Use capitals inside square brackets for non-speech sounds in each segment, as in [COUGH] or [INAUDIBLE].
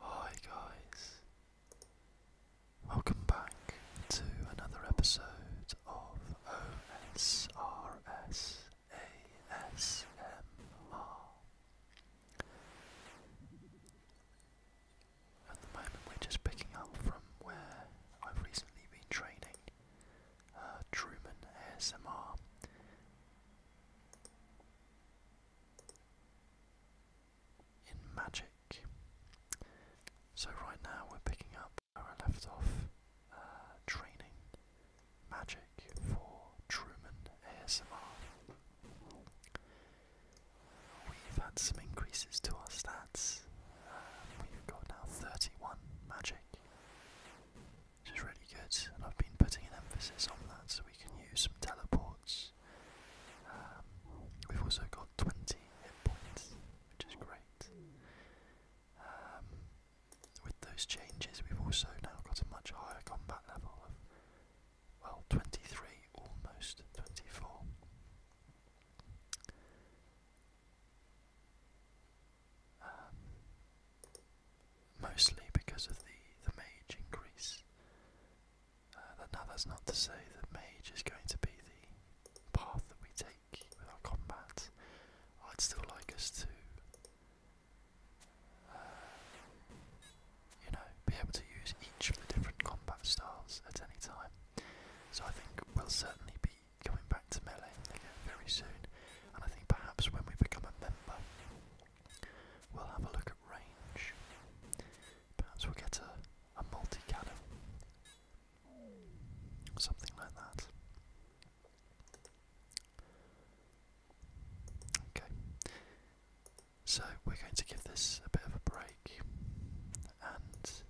Hi guys, welcome back to another episode of OSRS At the moment, we're just picking up from where I've recently been training uh, Truman ASMR. In magic. So, right now we're picking up where I left off uh, training magic for Truman ASMR. We've had some increases to our stats. Uh, we've got now 31 magic, which is really good, and I've been putting an emphasis on that so we can use some teleports. Um, we've also got 20 hit points, which is great. Um, with those changes, we've also now got a much higher combat level of, well, 23, almost 24. Um, mostly because of the, the mage increase. Uh, now that's not to say that mage is going to be the path that we take with our combat. I'd still like us to, uh, you know, be able to use each of the different combat styles at any time. So I think we'll certainly be coming back to Melee very soon, and I think perhaps when we become a member, we'll have a look at range. Perhaps we'll get a, a multi cannon, something like that. Okay, so we're going to give this a bit of a break and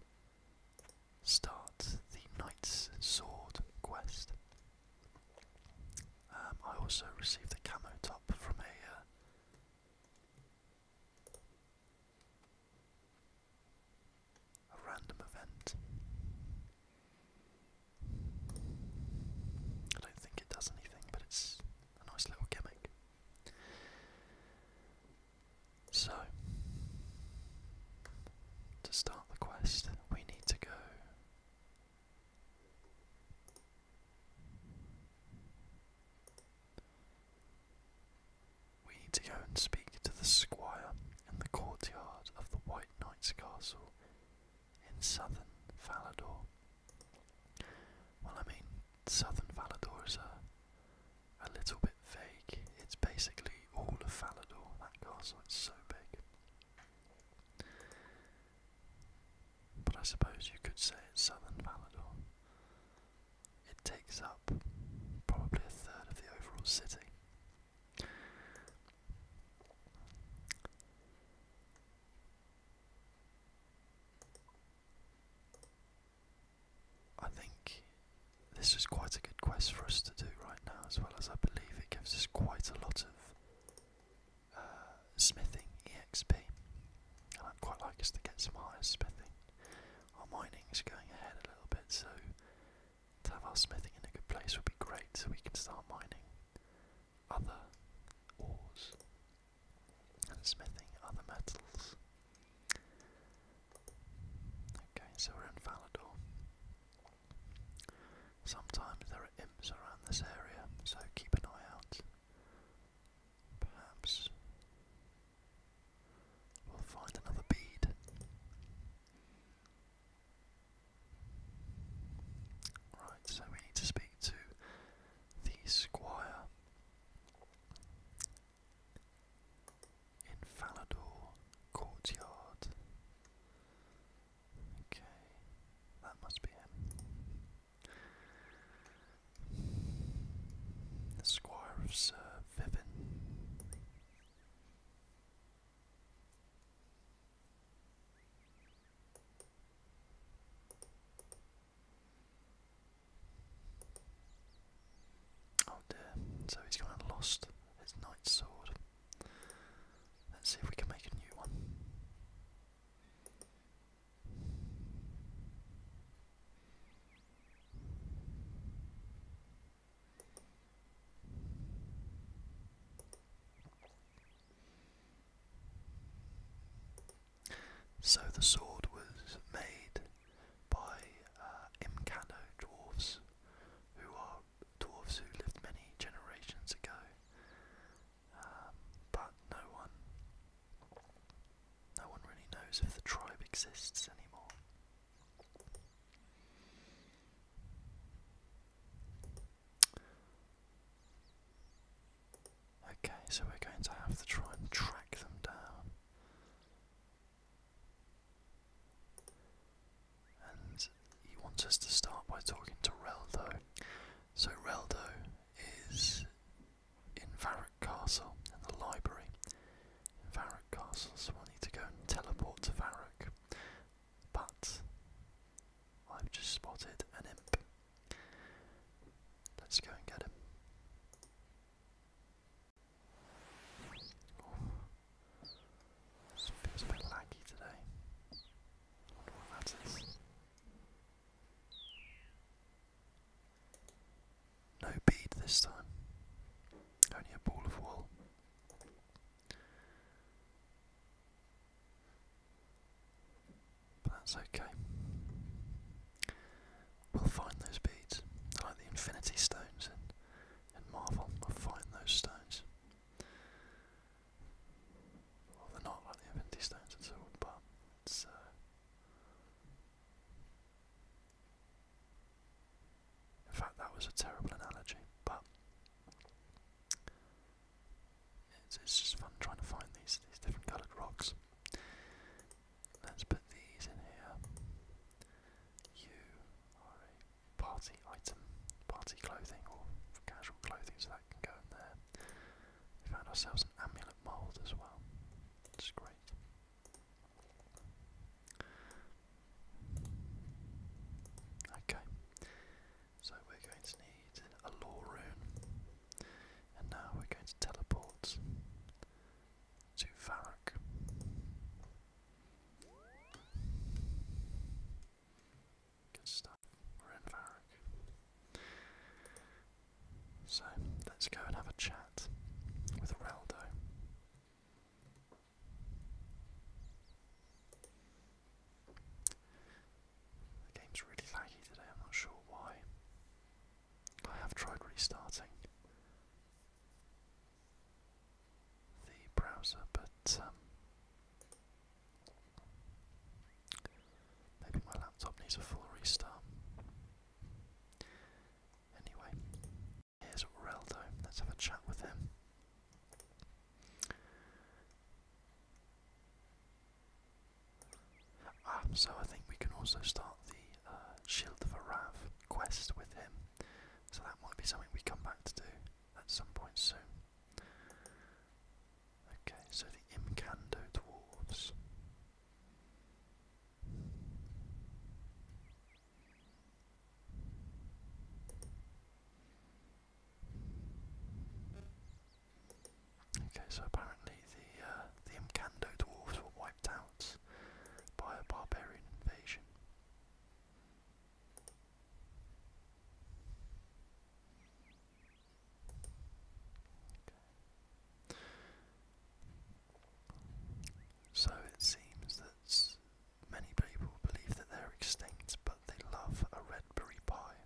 start the Knight's Sword quest. Um, I also received the camo top from uh, a random event. I don't think it does anything, but it's a nice little gimmick. So, to start the quest, we need to go we need to go and speak to the squire in the courtyard of the White Knight's Castle in southern Valador. Well, I mean, southern Valador is a, a little bit vague. It's basically all of Falador, that castle, it's so big. But I suppose you could say it's southern Falador. It takes up probably a third of the overall city. I think this is quite a good quest for us to do right now, as well as I believe it gives us quite a lot of uh, smithing exp. And I'd quite like us to get some higher smithing. Our mining is going ahead a little bit, so to have our smithing in a good place would be great, so we can start mining other ores and smithing other metals. Okay, so we're in Valador. Sometimes there are imps around this area, so keep an eye out. Perhaps we'll find another bead. Right, so we need to speak to the squire in Falador Courtyard. Okay, that must be him. The Squire of Sir Vivin. Oh dear, so he's gone and lost his knight's sword. Let's see if we can make a new one. So the sword was made by uh, Imcano dwarfs who are dwarfs who lived many generations ago. Um, but no one, no one really knows if the tribe exists anymore. Okay, so we're going to have to try and track them down. And he wants us to start by talking to Reldo. So Reldo is in Varrock Castle in the library. Varrock Castle, so we'll need to go and teleport to Varrock. But I've just spotted an imp. Let's go and get him. This feels a bit laggy today. Wonder what that is. No bead this time. Only a ball of wool. But that's okay. We'll find those beads. like the infinity stones in Marvel will find those stones. Well, they're not like the Infinity Stones and so but it's. Uh, in fact, that was a terrible analogy, but it's, just fun trying to find these these different coloured rocks. Let's put these in here party item, party clothing or casual clothing, so that can go in there. We found ourselves an amulet mould as well, which great. Okay, so we're going to need a law rune, and now we're going to teleport to Varrock. Good stuff. So, let's go and have a chat with Raldo. The game's really laggy today, I'm not sure why. I have tried restarting the browser, but um, maybe my laptop needs a full restart. Anyway, here's Reldo. Let's have a chat with him. Ah, so I think we can also start the uh, Shield of Arav quest with him. So that might be something we come back to do at some point soon. Okay, so the Imkando dwarves. Okay, so apparently the uh, the Imkando dwarves were wiped out by a barbarian invasion. So it seems that many people believe that they're extinct, but they love a red berry pie.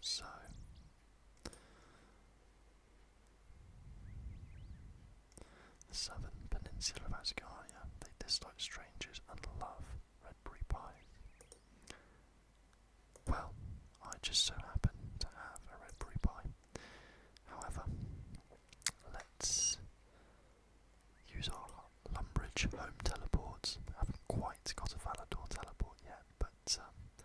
So the southern peninsula of Asgaria, they dislike strangers and love redberry pies. Well, I just so happen to have a redberry pie. However, let's use our Lumbridge home teleports. haven't quite got a Valador teleport yet, but um,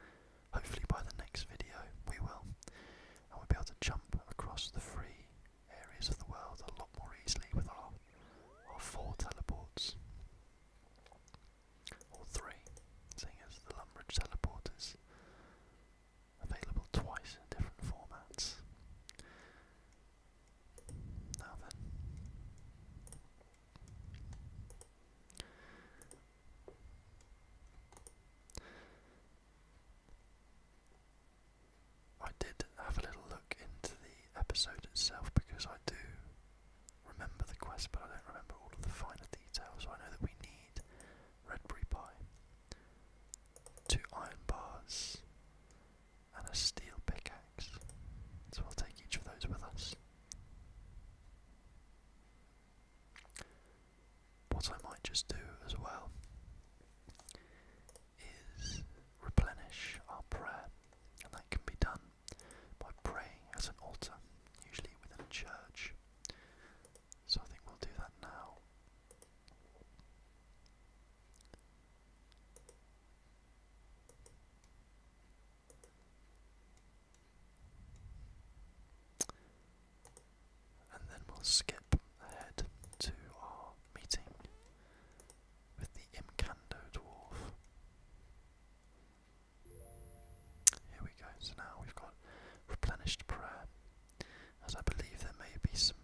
Hopefully by the next video we will, and we'll be able to jump across the three areas of the world a lot more easily with our, our four teleports. Or three, seeing as the Lumbridge teleport is available twice in different formats. Now then. I did have a little look into the episode itself because I do remember the quest, but I don't remember all of the finer details. So I know that we need redberry pie, two iron bars, and a steel pickaxe. So we'll take each of those with us what I might just do as well is replenish our prayer, and that can be done by praying at an altar, usually within a church. So I think we'll do that now. And then we'll skip ahead to our meeting with the Imkando dwarf. Here we go. So now we've got replenished prayer, as I believe there may be some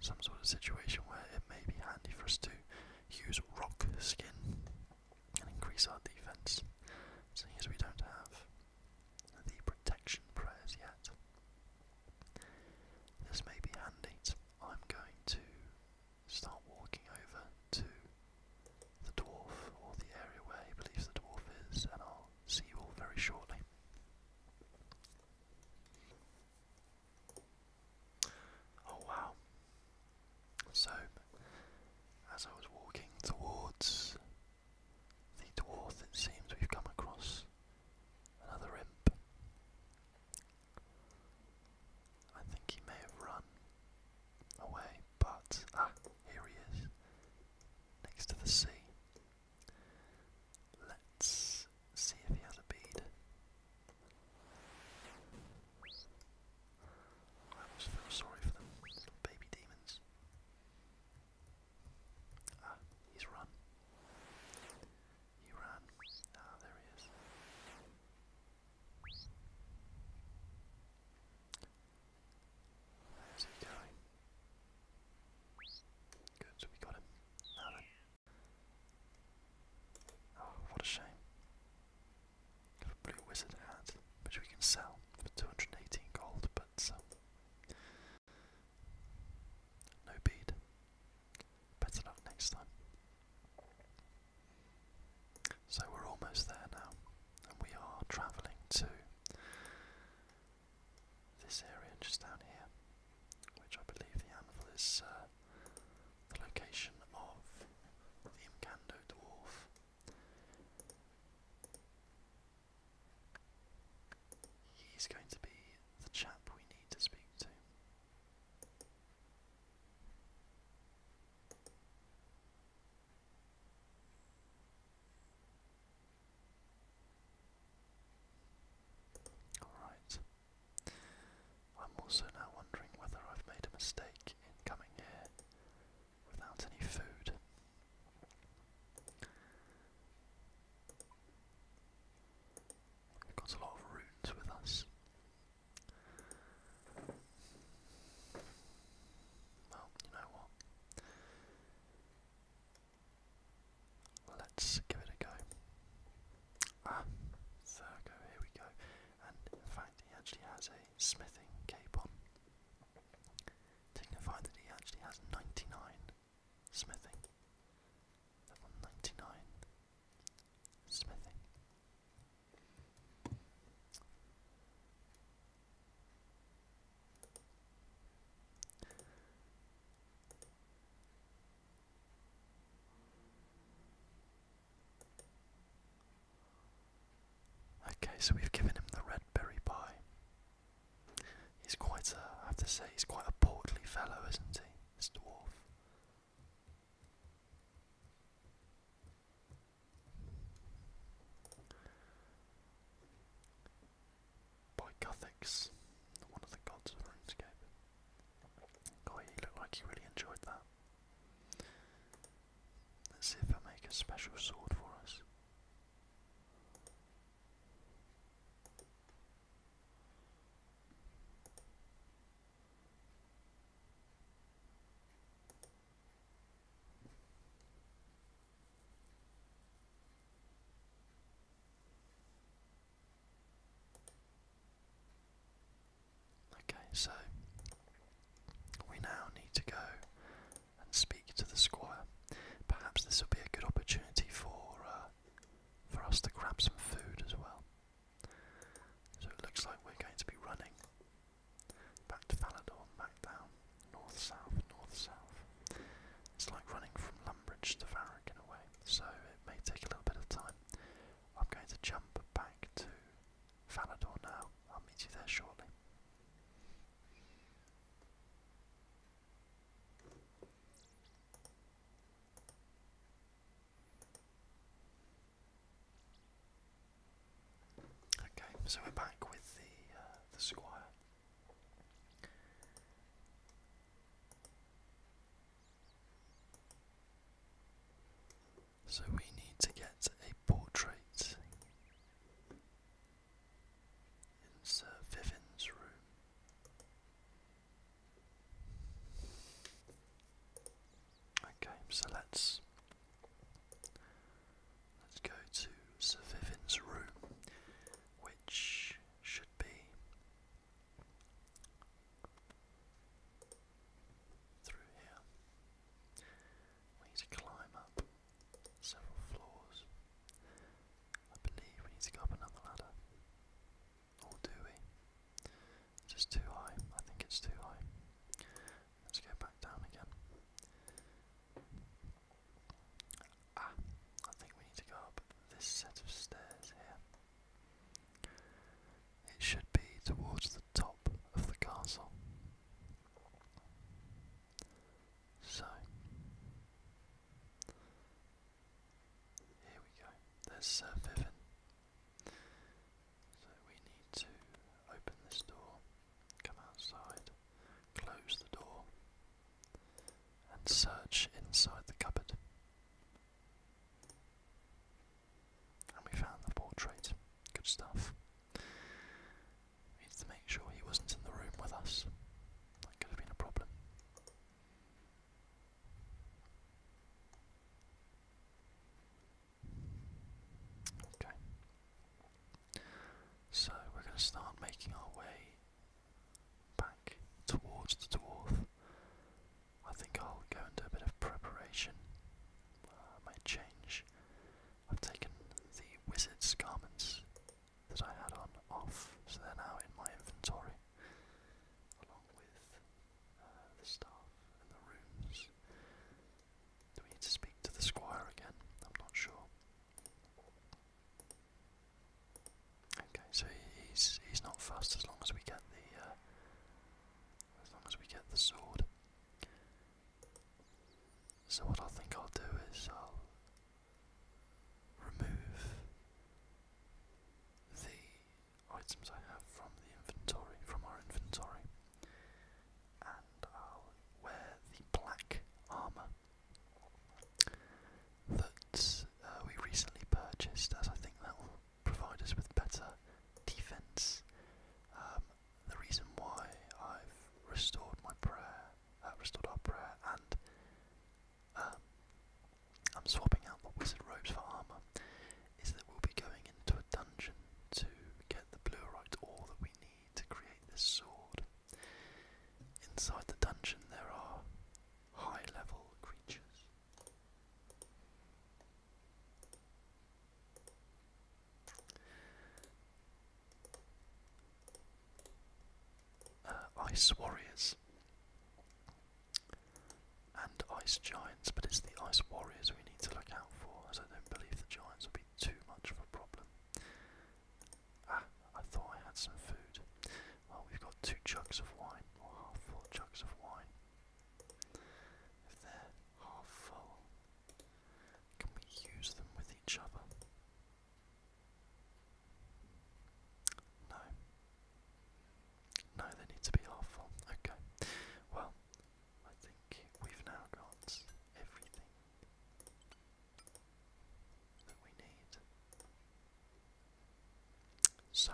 some sort of situation where it may be handy for us to use rock skin and increase our defense, seeing as we don't have the protection prayers yet. This may be handy. I'm going to start walking over to the dwarf, or the area where he believes the dwarf is, and I'll see you all very shortly. Oh wow. So, as I was walking towards the dwarf, it seems we've come across another imp. I think he may have run away, but ah, here he is, next to the sea. Let's see if he has a bead. I almost feel sorry for them, little baby demons. Ah, he's run. He ran. Ah, there he is. Where's he going? Good, so we got him. Oh, what a shame a blue wizard hat, which we can sell for 218 gold, but um, no bead. Better next time. So we're almost there now, and we are travelling to this area just down here, which I believe the anvil is uh, the location of the Imkando dwarf. He's going to be the chap we need to speak to. Alright. I'm also now wondering whether I've made a mistake in coming here without any food. We've got a lot of runes with us. Well, you know what? Let's give it a go. Ah, Virgo, here we go. And in fact, he actually has a smithing cape on. Signifying that he actually has 99 smithing. Level 99 smithing. Okay, so we've given him the red berry pie. He's quite a, I have to say, he's quite a portly fellow, isn't he, this dwarf? By Guthix, one of the gods of RuneScape. Guy, he looked like he really enjoyed that. Let's see if I make a special sword for us. Okay, so we now need to go and speak to the squire. Perhaps this will be a good opportunity for uh, for us to grab some food as well. So it looks like we're going to be running back to Falador, back down, north south, north south. It's like running from Lumbridge to Varric in a way, so it may take a little bit of time. I'm going to jump back to Falador now. I'll meet you there shortly. Okay, so we're back with the uh, the squire. So we need to get a portrait in Sir Vivian's room. Okay, so let's let's go to Sir Vivian's room, which should be through here. We need to climb up several floors. I believe we need to go up another ladder. Or do we? just too high. I think it's too high. Let's go back down again. Ah, I think we need to go up this set of stairs here. It should be towards the top of the castle. So here we go. There's uh, So we need to open this door, come outside, close the door, and search inside the cupboard. And we found the portrait. Good stuff. We needed to make sure he wasn't in the room with us. That could have been a problem. Okay. So we're going to start making our way back towards the dwarf. I think I'll go and a bit of preparation uh, my change. I've taken the wizard's garments that I had on off, so they're now in my inventory, along with uh, the staff and the rooms. Do we need to speak to the squire again? I'm not sure. Okay, so he's he's not fast as long as we get the uh, as long as we get the sword. So, what I think I'll do is I'll remove the items I have from the inventory, from our inventory, and I'll wear the black armour that uh, we recently purchased, as I think that will provide us with better defence um, the reason why I've restored my prayer, uh, restored our prayer, and um, I'm swapping out the wizard robes for armour, is that we'll be going into a dungeon to get the Bluerite ore that we need to create this sword. Inside the dungeon there are high level creatures. Uh, ice warriors and ice giants, but it's the ice warriors we need to look out for, as I don't believe the giants will be too much of a problem. Ah, I thought I had some food. Well, we've got two jugs of wine, or half full jugs of wine. If they're half full, can we use them with each other? No. No, they need to be halfful. Okay. Well, I think we've now got everything that we need. So,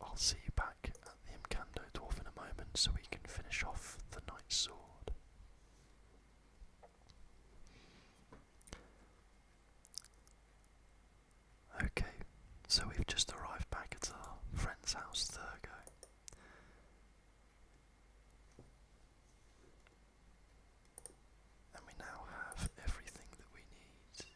I'll see you back at the Imkando Dwarf in a moment so we can finish off the Knight's Sword. Okay, so we've just arrived back at our friend's house, Thurgo. And we now have everything that we need.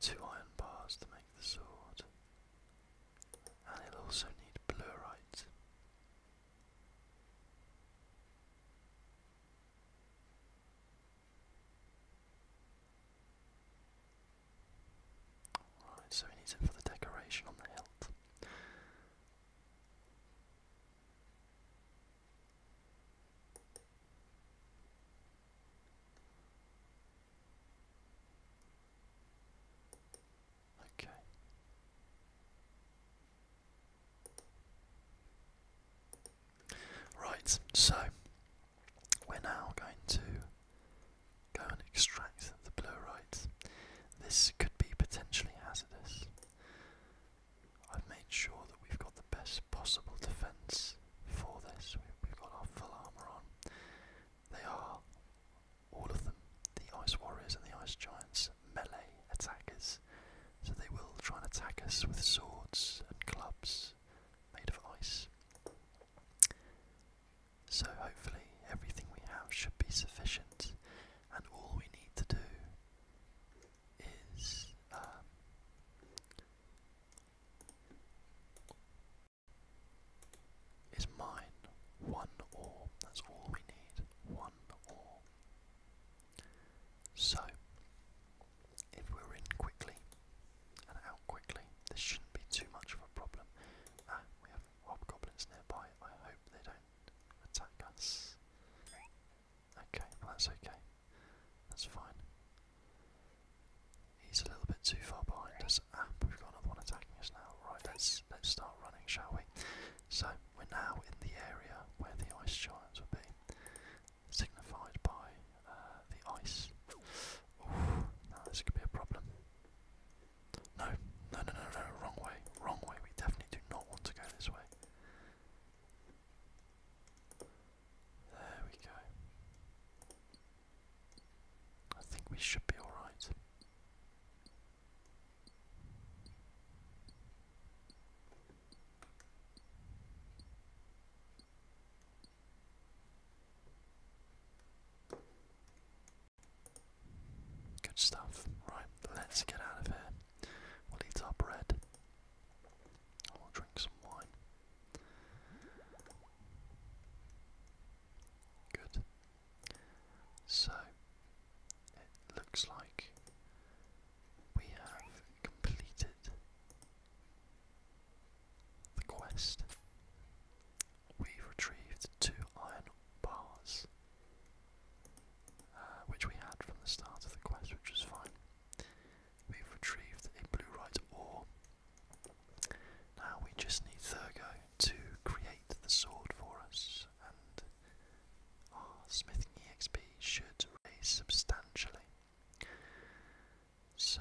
Two iron bars to make the sword, and it also need blurite. Right, so he needs it for the decoration on the hilt. Okay. Right, so we're now going to go and extract the blue right. This could be potentially hazardous. I've made sure that we've got the best possible defence for this. We've got our full armour on. They are, all of them, the Ice Warriors and the Ice Giants, melee attackers. So they will try and attack us with swords and clubs made of ice. So hopefully everything we have should be sufficient and all we need to do is um, is mine one or that's all we need one or so if we're in quickly and out quickly this shouldn't be too much of a problem ah we have hobgoblins nearby I hope they don't attack us Okay, that's okay. That's fine. He's a little bit too far behind us. Ah, we've got another one attacking us now. Right, let's let's start running, shall we? So we're now in the area where the ice giants would be, signified by uh, the ice. Ooh, now this could be a problem. No, no, no, no, no, wrong way, wrong way. We definitely do not want to go this way. There we go. I think we should be alright. Good stuff. Right, let's get out of here. We'll eat our bread. And we'll drink some wine. Good. So, it looks like we have completed the quest. We've retrieved two iron bars, uh, which we had from the start of the quest, which was fine. We've retrieved a blue right ore. Now we just need Thurgo to create the sword for us, and our smithing EXP should raise substantially. So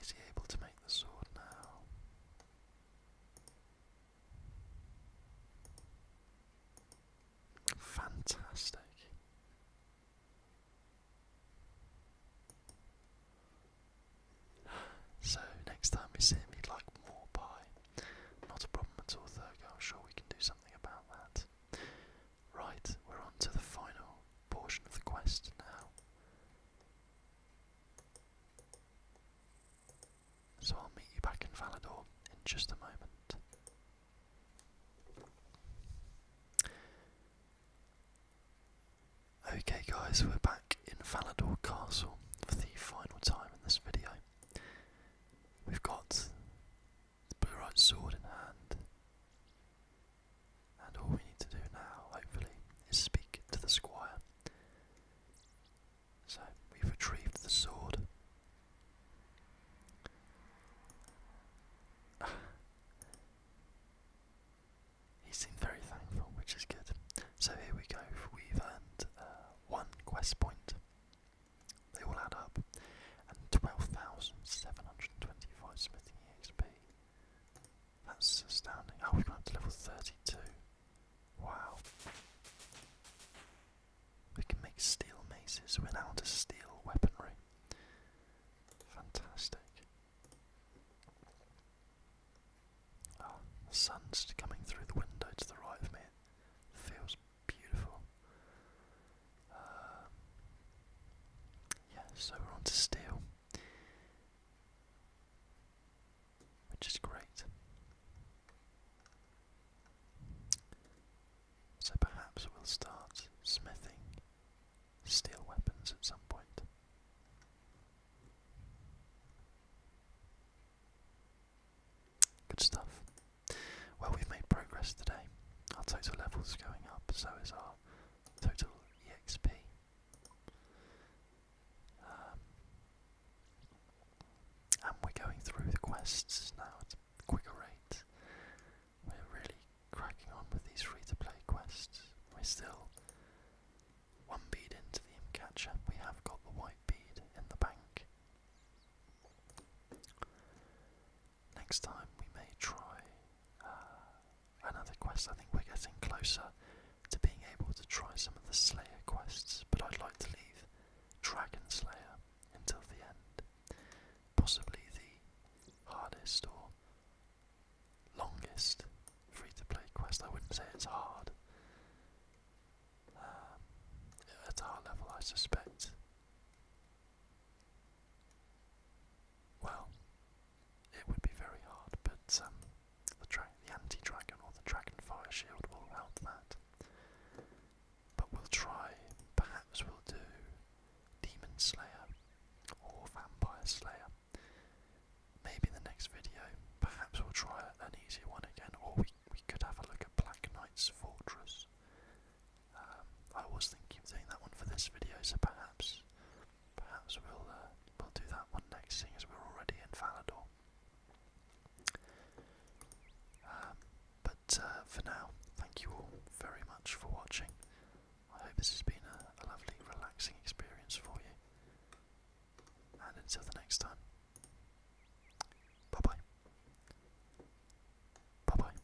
is he able to make the sword now? Fantastic. So, next time we see him, he'd like more pie. Not a problem at all, though. I'm sure we can do something about that. Right, we're on to the final portion of the quest now. So I'll meet you back in Valador in just a moment. Okay guys, we're back in Valador Castle for the final time in this video. We've got the Blue Right Sword in hand. And all we need to do now, hopefully, is speak to the squire. So we've retrieved the sword. [SIGHS] he seemed very thankful, which is good. So here we go. We've earned uh, one quest point. They all add up, and twelve thousand seven hundred twenty-five smithing XP. That's astounding. Oh, we've gone up to level 32. Wow. We can make steel maces. We're steel weaponry. Fantastic. Oh, sun's coming through the window to the right of me. feels beautiful. Um, so we're on to steel which is great. So perhaps we'll start smithing steel weapons at some point. Good stuff. Well, we've made progress today. Our total level's going up, so is our total EXP. Um, and we're going through the quests now at a quicker rate. We're really cracking on with these free to play quests. We're still one bead into the imp catcher. We have got the white bead in the bank. Next time we may try uh, Another quest, I think we're getting closer to being able to try some of the Slayer quests, but I'd like to leave Dragon Slayer until the end. Possibly the hardest or longest free to play quest. I wouldn't say it's hard. Um, at our level, I suspect. Well, it would be very hard, but um, the, anti-dragon or the dragon fire shield will help that. But we'll try, perhaps we'll do Demon Slayer or Vampire Slayer. Maybe in the next video, perhaps we'll try an easier one again, or we, we could have a look at Black Knight's Fortress. Um, I was thinking of doing that one for this video, so perhaps Perhaps we'll uh, we'll do that one next, seeing as we're already in Valador. Um, but uh, for now, thank you all very much for watching. I hope this has been a, a lovely, relaxing experience for you. And until the next time, bye bye. Bye bye.